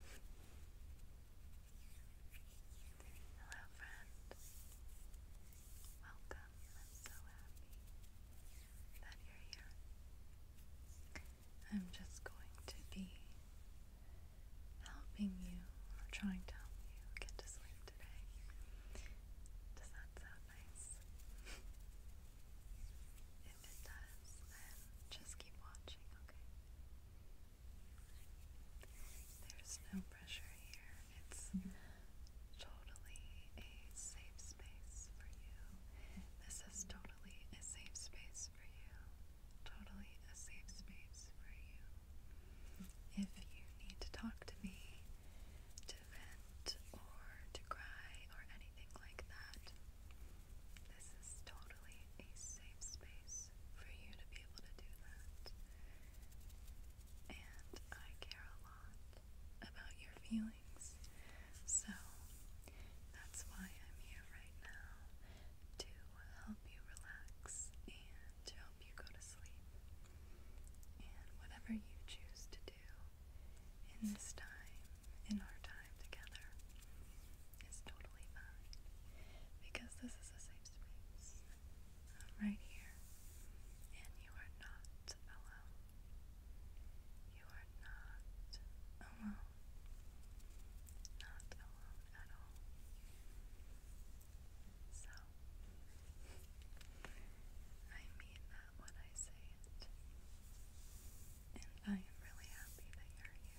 Hello, friend. Welcome. I'm so happy that you're here. I'm just going to be helping you, or trying to help you, get to sleep today. Does that sound nice? if it does, then just keep watching, okay? There's no pressure here. It's totally a safe space for you. This is totally a safe space for you. Totally a safe space for you. If you need to talk to me, to vent, or to cry, or anything like that, this is totally a safe space for you to be able to do that. And I care a lot about your feelings. So that's why I'm here right now to help you relax and to help you go to sleep. And whatever you choose to do in this time, in our time together, is totally fine because this is a safe space. right here, and you are not alone. You are not alone. Not alone at all. So, I mean that when I say it. And I am really happy that you're here.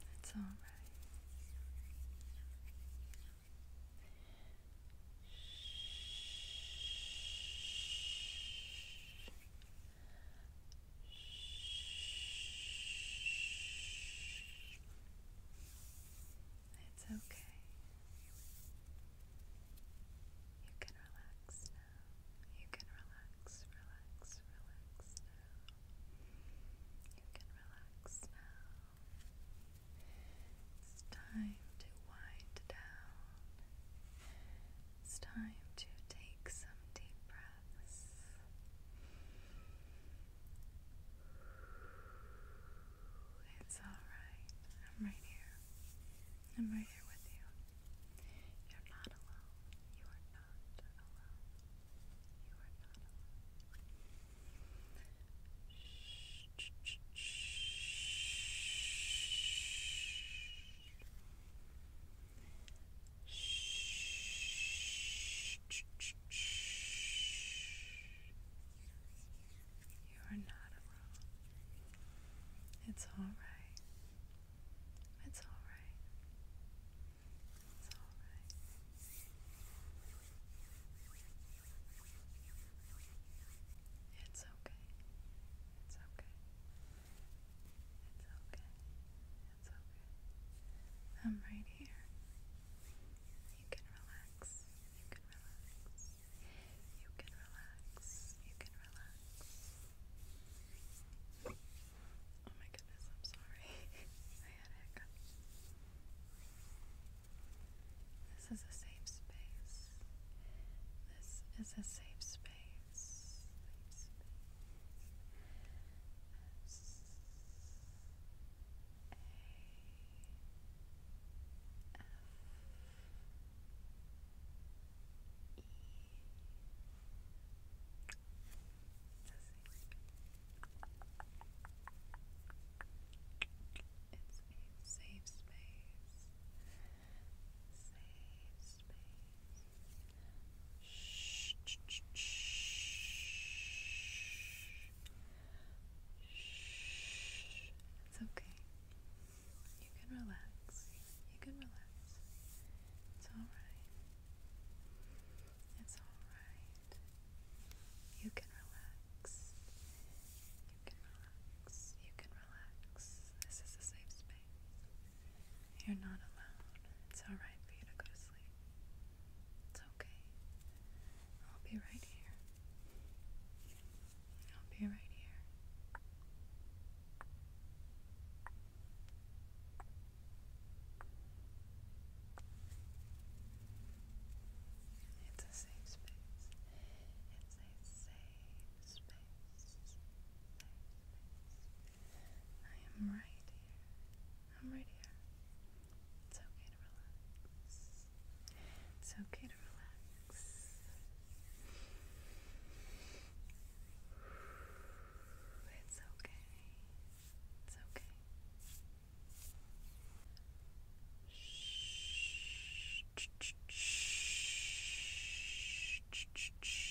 That's all right. It's okay. You can relax now. You can relax, relax, relax now. You can relax now. It's time to wind down. It's time to take some deep breaths. It's alright. I'm right here. I'm right here with you. You're not alone. You are not alone. Shh, shh, shh, shh. Shh, shh, shh. You are not alone. It's alright. It's alright. It's alright. It's okay. It's okay. It's okay. It's okay. I'm right here. You can relax. You can relax. You can relax. You can relax. Oh my goodness, I'm sorry. I had a hiccup. This is a safe space. This is a safe space a safe space. Safe space. shh, shh, shh. Shh. It's okay. You can relax. You can relax. It's alright. It's alright. You can relax. You can relax. You can relax. This is a safe space. You're not alone. It's alright for you to go to sleep. It's okay. I'll be right here. I'll be right here. It's a safe space. It's a safe space. I am right here. I'm right here. It's okay. It's okay to relax. It's okay. It's okay. Shh. Shh. Shh. Shh. Shh.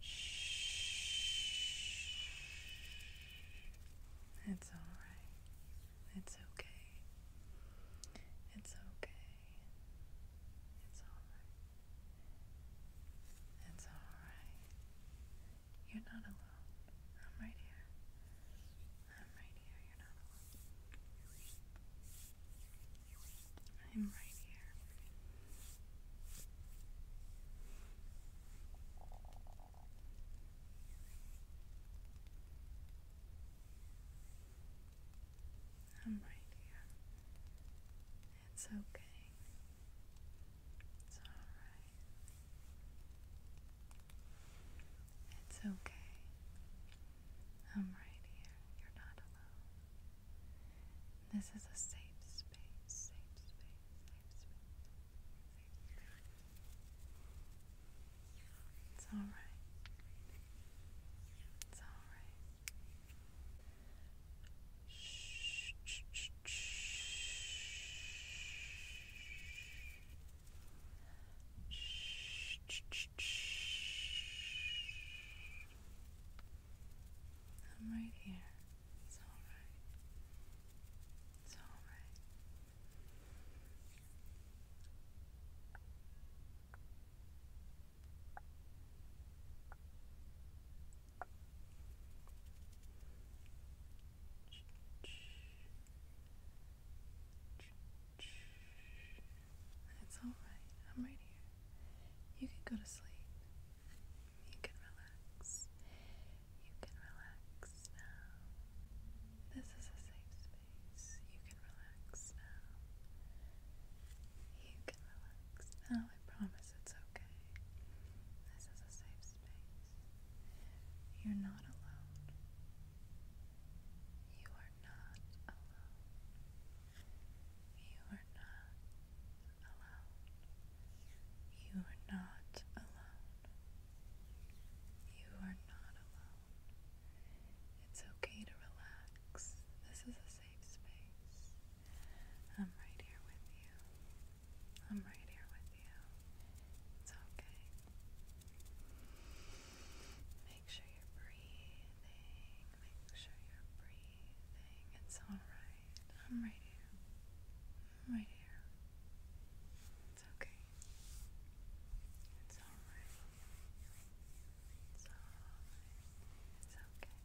Shh. It's all right. It's okay. It's okay. It's all right. It's all right. You're not alone. I'm right here. I'm right here. You're not alone. I'm right here. I'm right here. It's okay. It's all right. It's okay. I'm right here. You're not alone. This is a safe space, safe space. It's all right. It's all right. Shh, shh, shh, shh. Shh, shh, shh. I'm right here. It's alright. It's alright. It's all right. I'm right here. You can go to sleep. You can relax. You can relax now. This is a safe space. You can relax now. You can relax now. I promise it's okay. This is a safe space. You're not alone. You are not alone. You are not alone. You are not alone. You are not alone. It's okay to relax. This is a safe space. I'm right here with you. I'm right here with you. It's okay. Make sure you're breathing. Make sure you're breathing. It's alright. I'm right here. right here. It's okay. It's alright. It's alright. It's okay.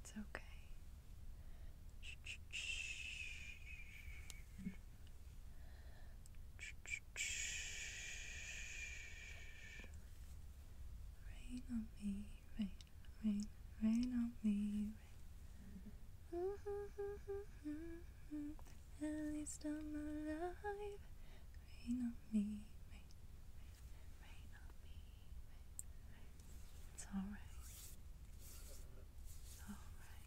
It's okay. Shh, shh. Rain on me, rain, rain, rain on me, rain. At least I'm alive. Rain on me, rain, rain, rain on me, It's alright. It's alright.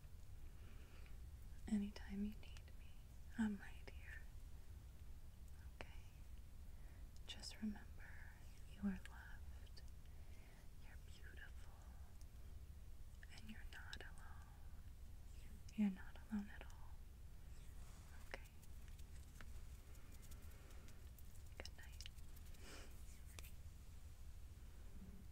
Anytime you need me, I'm right here. Okay? Just remember, you are loved, you're beautiful, and you're not alone. You're not alone at all. Okay? Good night.